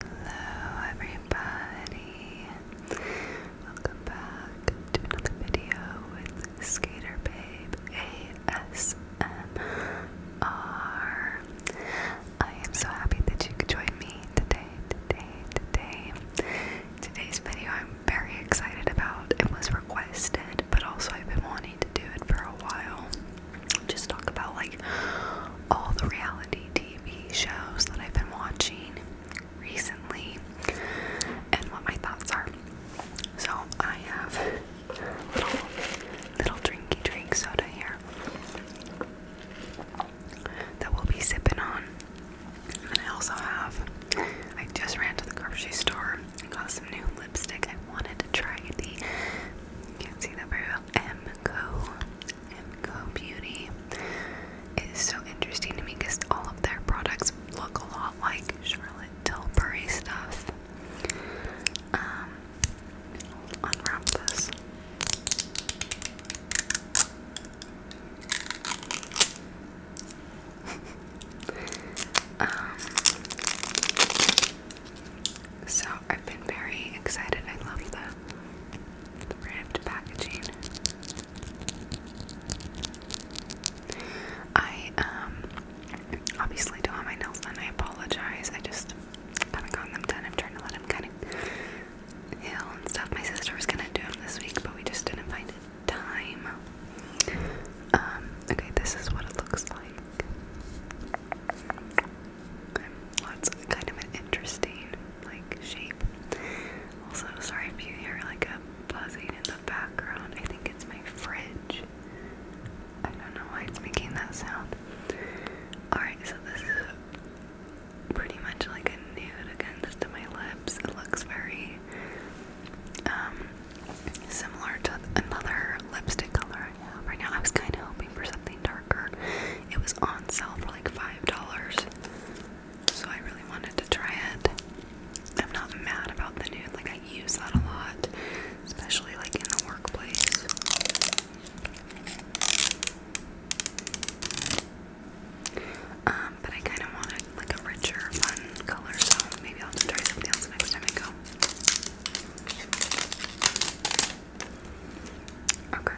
Hello everybody! Welcome back to another video with Skater Babe ASMR. I am so happy that you could join me today, today, today. Today's video I'm very excited about. It was requested, but also I've been wanting to do it for a while. Just talk about like all the reality TV shows that I've been watching recently and what my thoughts are. So I have little, little drinky drink soda here that we'll be sipping on. And I also have, I just ran to the grocery store and got some new lipstick. I wanted to try the, can't see that very well, M Co and Beauty is so interesting to me because all of their products look a lot like Charlotte Tilbury stuff. Um, unwrap this. Um, so I've been very excited. I love the ribbed packaging. I um obviously don't have my nails done. I apologize. I just haven't gotten them done. I'm trying to let them kind of heal and stuff. My sister was gonna do them this week, but we just didn't find time. Um, okay, this is what it looks like. Okay, that's kind of an interesting like shape. Also, sorry if you hear like a buzzing in the background. I think it's my fridge. I don't know why it's making that sound. Alright, so this is pretty much like a nude again, my lips. It looks very um, similar to another lipstick color right now. I was kind of hoping for something darker it was on sale for like $5. So I really wanted to try it. I'm not mad about the nude, like I use that a lot, especially like in the workplace. Um, but I kind of wanted like a richer, fun color, so maybe I'll try something else next time I go. Okay.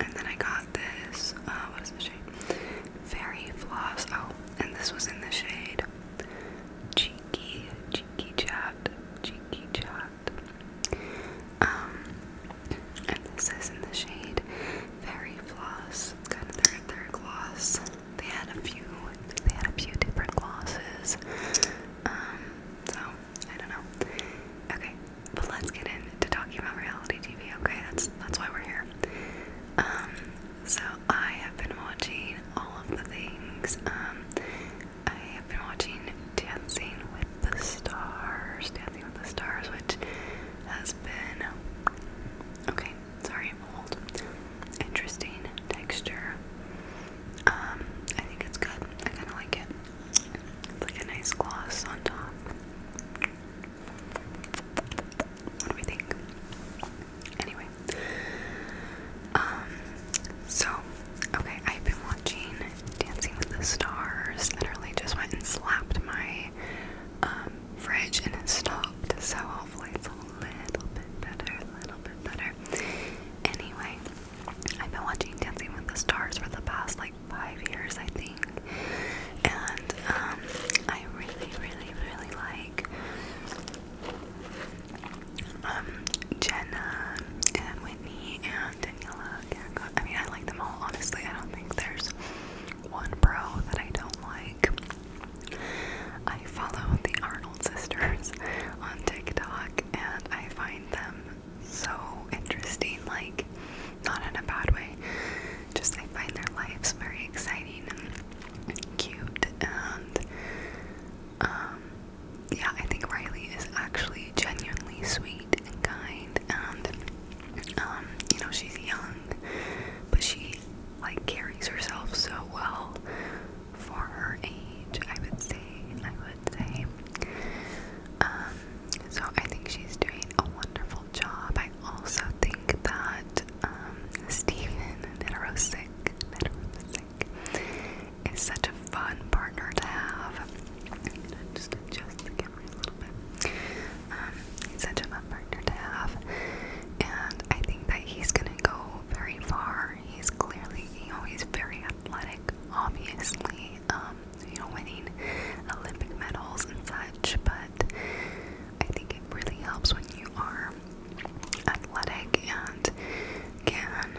And then I got this, uh, what is the shade? Fairy Floss, oh, and this was in the shade Cheeky, Cheeky Chat, Cheeky Chat. Um, and this is in the shade Fairy Floss, it's kind of their, their gloss. They had a few, they had a few different glosses. Um, so I don't know. Okay, but let's get into talking about reality TV. Okay, that's that's why we're here. Um, so I have been watching all of the things. Um, I have been watching Dancing with the Stars. Dancing with the Stars, which has been okay. Sorry, old. Interesting texture. Um, I think it's good. I kind of like it. It's like a nice gloss on top. What do we think? Anyway, um, so okay, I've been watching Dancing with the Stars. Literally, just went and slapped my um fridge and it stopped. So hopefully, it's a little bit better, a little bit better. Anyway, I've been watching Dancing with the Stars for the past like five years, I think, and um, I really, really, really like um, Jenna and Whitney and Daniela. I mean, I like them all. Honestly, I don't think there's one bro that I don't like. I follow the Arnold sisters on TikTok, and I find them so interesting, like, not in a bad way. Just I find their lives very exciting and cute, and um, yeah, I think Riley is actually genuinely sweet and kind, and um, you know, she's young, but she like carries herself so well for her age, I would say. I would um, so I think she's doing a wonderful job. I also think that um, Stephen Mitarosik is such a fun partner to have. just adjust the camera a little bit. Um, he's such a fun partner to have, and I think that he's gonna go very far. He's clearly, you know, very athletic, obviously. Um, you know, winning Olympic medals and such, but I think it really helps when you are athletic and can,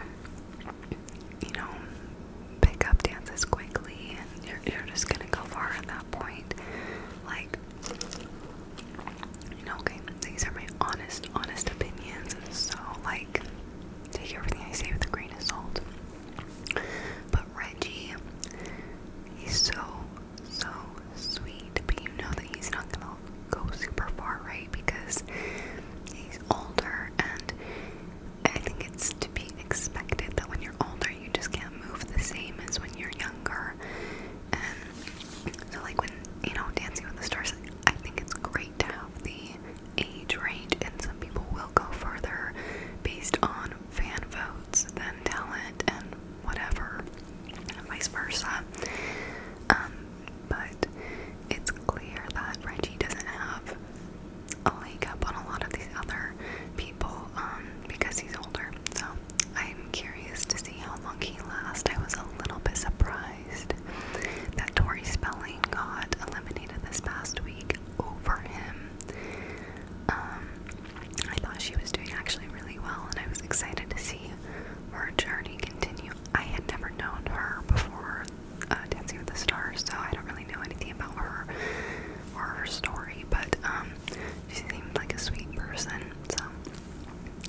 you know, pick up dances quickly and you're, you're just gonna go far at that point. Like, you know, okay, these are my honest, honest opinions, and so, like, Take everything I say with a grain of salt. But Reggie, he's so, so sweet. But you know that he's not gonna go super far, right? Because he's older, and I think it's to be expected that when you're older, you just can't move the same as when you're younger. And so, like, when you know, Dancing with the Stars, I think it's great to have the age range, and some people will go further based on fan votes than talent and whatever, vice versa. Um, but it's clear that Reggie doesn't have a leg up on a lot of these other people um, because he's older. So I'm curious to see how long he lasts. I was a little bit surprised that Tory Spelling got eliminated this past week over him. Um, I thought she was doing actually really well, and I was excited to see her journey continue. I had never known her before uh, Dancing with the Stars, so I don't really know anything about her or her story, but um, she seemed like a sweet person. So,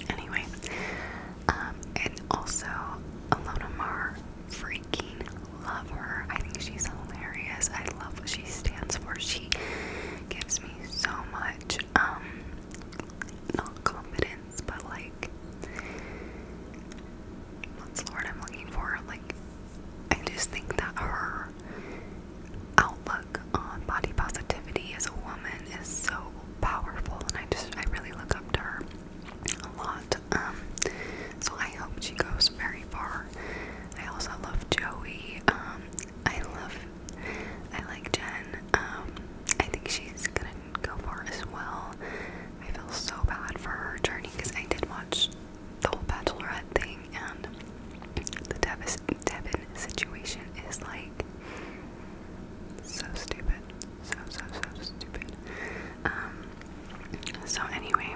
anyway, um, and also Alona Mar freaking love her. I think she's hilarious. I love what she stands for. She gives me so much, um, not confidence, but like, what's the word I'm looking for? Like, I just think that her outlook on body positivity as a woman is so powerful, and I just, I really look up to her a lot. Um, so I hope she goes very far. I also love Joey. Um, I love, I like Jen. Um, I think she's gonna go far as well. I feel so bad for her journey because I did watch the whole Bachelorette thing and the Devis Devin situation is like so stupid. So so so stupid. Um so anyway,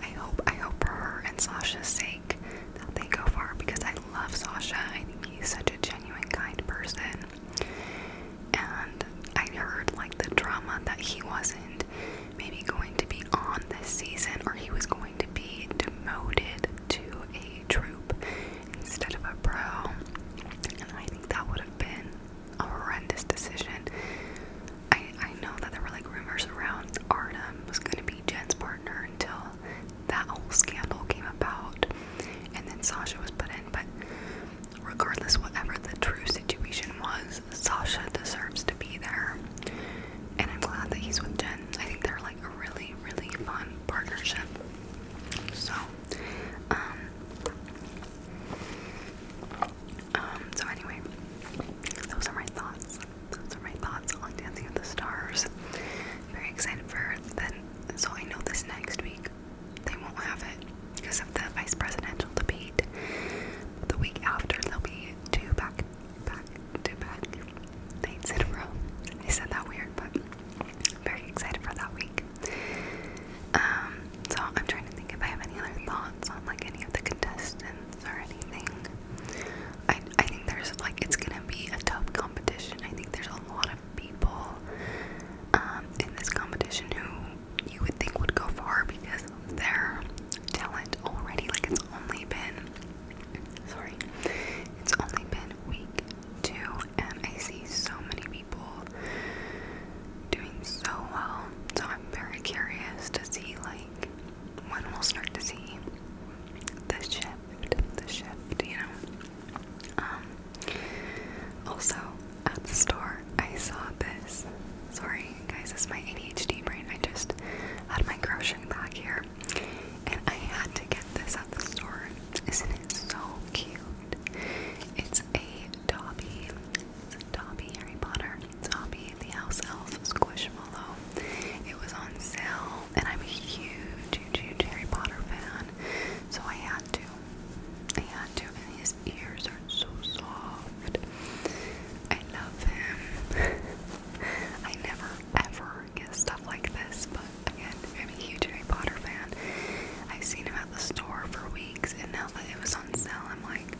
I hope I hope for her and Sasha's sake that they go far because I love Sasha. I think he's such a genuine, kind person. And I heard like the drama that he wasn't maybe going to be on this season or he was going to be demoted to a troop instead of a pro. And I think that would have been a horrendous decision. I, I know that there were like rumors around Artem was going to be Jen's partner until that whole scandal came about, and then Sasha was put in. But regardless, whatever the true situation was, Sasha deserves to be there, and I'm glad that he's with Jen. I think they're like a really, really fun partnership. So, um, um, so anyway, those are my thoughts. Those are my thoughts on Dancing with the Stars. Very excited for then. So I know this next week they won't have it because of the vice presidential debate. The week after there'll be two back, back to back nights in a row. I said that weird, but very excited for that week. Um, so I'm trying to think if I have any other thoughts on like any of the contestants or anything. I I think there's like it's gonna be a tough competition. I think there's a lot of people um, in this competition who you would think would go far because of their talent already. Like it's only been sorry, it's only been week two, and I see so many people doing so well. So I'm very curious to see like when we'll start to see the shift, the shift, you know. Um, also, at the store, I saw this. Sorry, guys, it's my ADHD brain. I just had my grocery bag here, and I had to get this at the store. Isn't it so cute? It's a Dobby Dobby, Harry Potter, Dobby, the House Elf, Squishmallow. It was on sale, and I'm a huge, huge, Harry Potter fan, so I had to. I had to, his ears are so soft. I love him. I never, ever get stuff like this, but again, I'm a huge Harry Potter fan. I've seen him at the store for weeks, and now that it was on sale, I'm like,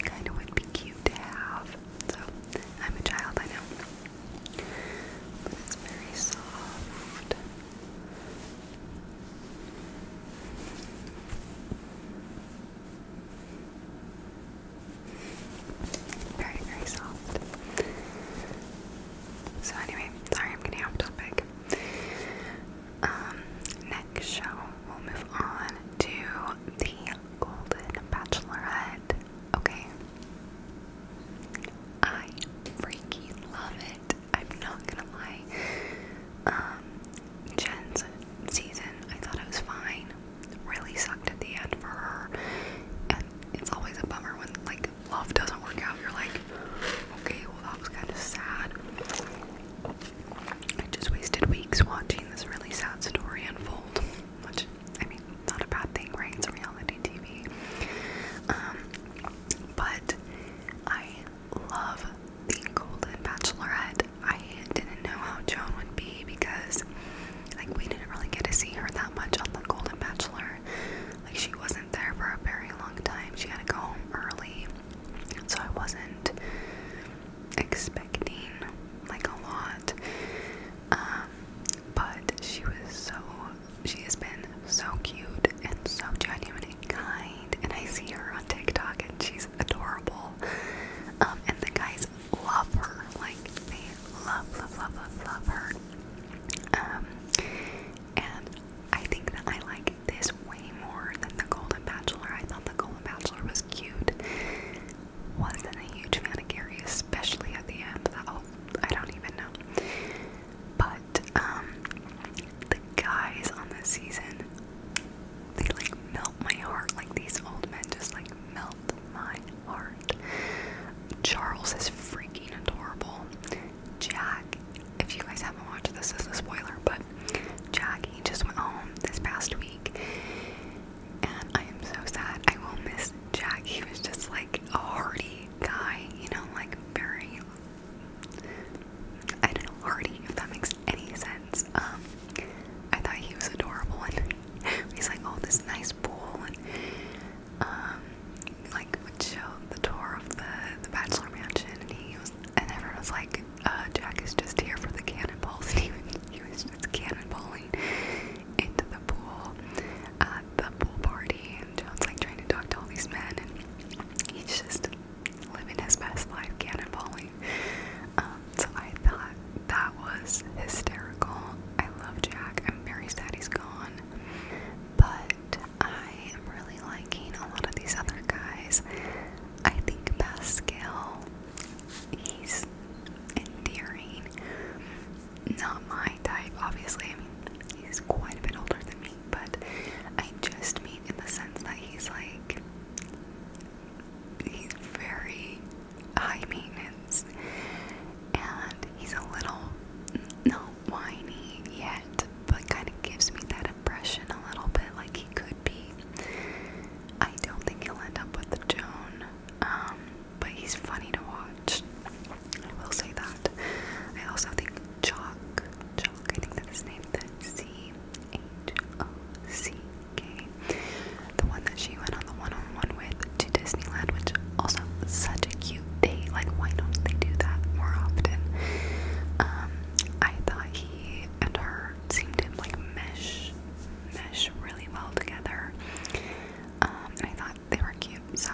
kind of would be cute to have. So I'm a child, I know, but it's very soft. Very, very soft. So anyway, sorry I'm getting off topic. Um, next show, we'll move on to the Golden Bachelorette. Okay. I freaking love it. I'm not gonna lie. Um, Jen's season, I thought it was fine. Really sucked at the end for her. And it's always a bummer when, like, love doesn't work out. You're like, okay, well, that was kind of sad. I just wasted weeks watching this really sad story unfold, which, I mean, not a bad thing, right? It's reality TV. Um, but I love the Golden Bachelorette. I didn't know how Joan would be because, like, we didn't really get to see her that much on the Golden Bachelor. Like, she wasn't there for a very long time. She had to go home early, so I wasn't expecting like a lot. Um, but she was so she has been so cute and so genuine and kind. And I see her on TikTok and she's adorable. Um, and the guys love her. Like they love, love, love, love, love her. Um, and I think that I like this way more than the Golden Bachelor. I thought the Golden Bachelor was cute, wasn't a huge fan of Gary, especially at the end. That I don't even know. But um, the guys on this season, they like melt my heart. Like these old men just like melt my heart. Charles is freaking adorable. Jack, if you guys haven't watched this, this is a spoiler, but Jack he just went home this past week and I am so sad. I will miss Jack. He was just like a hardy guy, you know, like very I don't know, hardy, if that makes any sense. Um, I thought he was adorable, and he's like, oh, this nice pool, and um, like would show the tour of the the Bachelor Mansion, and he was, and everyone was like, uh, Jack is just here for the cannonballs. He, he was just cannonballing into the pool at uh, the pool party. And John's like trying to talk to all these men, and he's just living his best life, cannonballing. Um, so I thought that was hysterical. I love Jack. I'm very sad he's gone. But I am really liking a lot of these other guys. I think Pascal he's endearing. Not my type, obviously. I mean, he's quite a bit older than me, but I just mean in the sense that he's like, he's very high maintenance and he's a little not whiny yet, but kind of gives me that impression a little bit like he could should I don't think he'll end up with the Joan, um, but he's funny to watch. I will say that. I also think Chalk, Chalk, I think that's his name, the C H O C K, the one that she went on the one on one with to Disneyland, which also such a cute date. Like, why don't they do that more often? Um, I thought he and her seemed like mesh mesh really well together. Um, I thought they were cute, so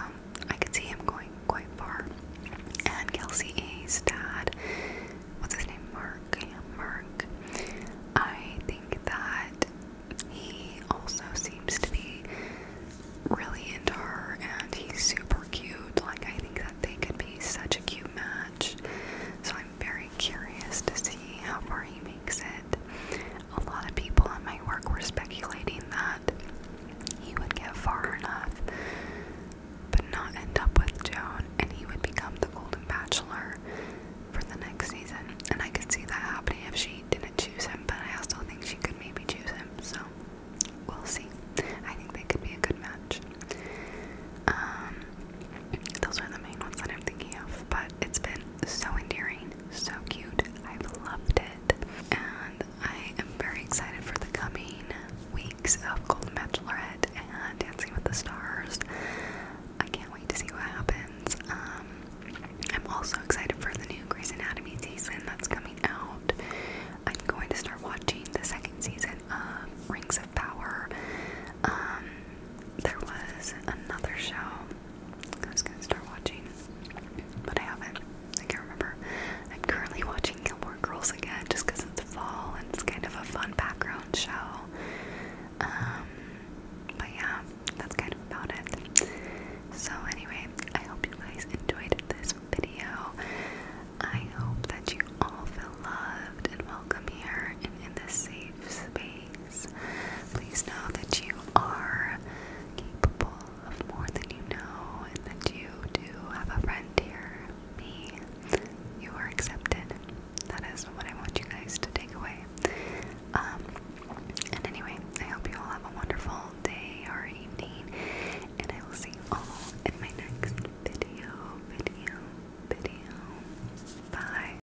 I could see him going quite far. And Kelsey A's dad, what's his name? Mark. Yeah, Mark. I think that he also seems to be really into her, and he's super cute. Like I think that they could be such a cute match. So I'm very curious to see how far he makes it. A lot of people in my work were speculating that he would get far enough, but not end up with Joan, and he would become the Golden Bachelor for the next season. And I could see that happening if she didn't choose him, but I also think she could maybe choose him, so we'll see. I think they could be a good match. Um, those are the main ones that I'm thinking of, but it's been so endearing, so cute. I've loved it, and I am very excited for the coming weeks of Golden Bachelorette and Dancing with the Stars. I can't wait to see what happens. Um, I'm also excited for the new Grey's Anatomy season that's coming out. I'm going to start watching the second season of Rings of Power. Um, there was another show I was gonna start watching, but I haven't. I can't remember. I'm currently watching Gilmore Girls again just because it's fall and it's kind of a fun background show. Um, but yeah, that's kind of about it. So, anyway, I hope you guys enjoyed this video. I hope that you all feel loved and welcome here and in this safe space days. Please know that you are capable of more than you know and that you do have a friend here, me. You are accepted. That is what I want you guys to take away. Um, and anyway, I hope you all have a wonderful day or evening, and I will see you all in my next video, video, video. Bye.